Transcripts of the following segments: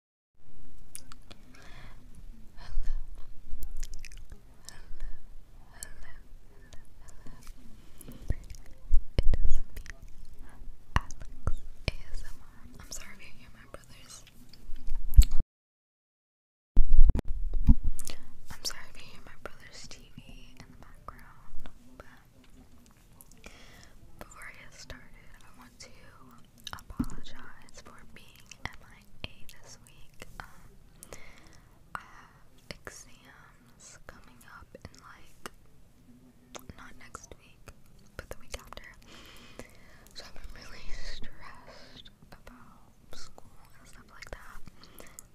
ASMR. I'm sorry if you hear my brothers. I'm sorry if you hear my brother's TV in the background, before I get started, I want to apologize for being MIA this week. Um, I have exams coming up in like not next week, but the week after. So I've been really stressed about school and stuff like that.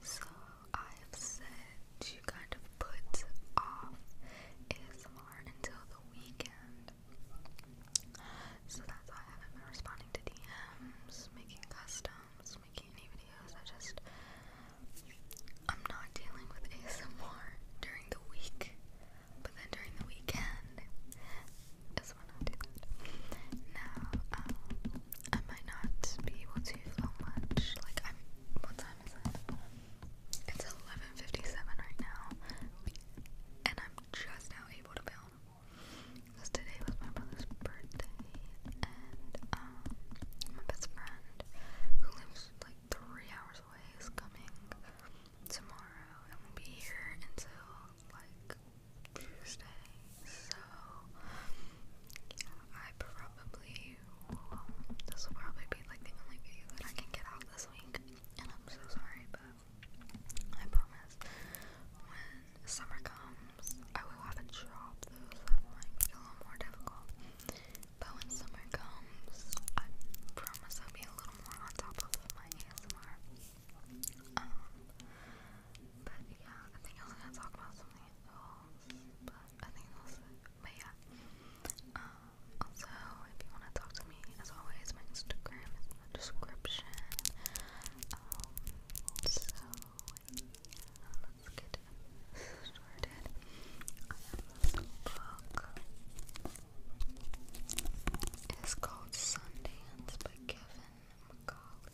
So I have said to kind of put off ASMR until the weekend so that's why I haven't been responding to DMs, making customs, making any videos. I just I'm not dealing with ASMR during the week. But then during the weekend I do um, might not be able to film much. Like I'm what time is it? It's 11:57 right now, and I'm just now able to film. Because today was my brother's birthday, and um, my best friend, who lives like three hours away, is coming tomorrow and will be here until like Tuesday. So, I probably This will probably be like the only video that I can get out this week, and I'm so sorry, but I promise. When summer comes, I will have a job, though, might be a little more difficult. But when summer comes, I promise I'll be a little more on top of my ASMR. Um, but yeah, I think I was gonna talk about something else, but I think that was But yeah, um, also, if you want to talk to me, as always, my Instagram is in description. Um, so, let's get started. This book is called Sundance by Kevin McCauley.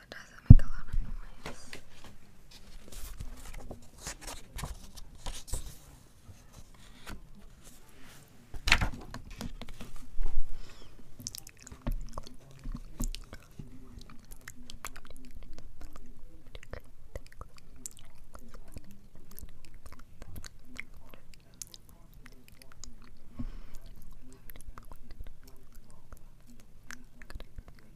so it doesn't make a lot of noise.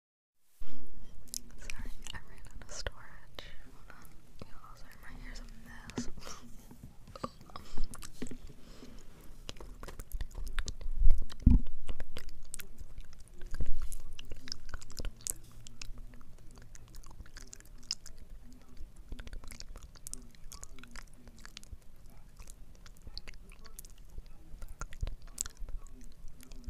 Sorry, I ran out of storage. Hold on. You know, also, my hair's a mess. Okay,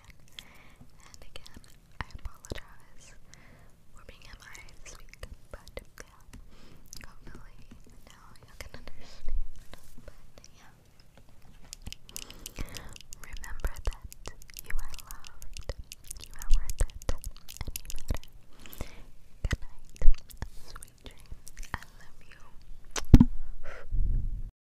question. And again, I apologize for being MI this week, but yeah, hopefully now you can understand. yeah, remember that you are loved, you are worth it, and you matter. Good sweet dreams. I love you.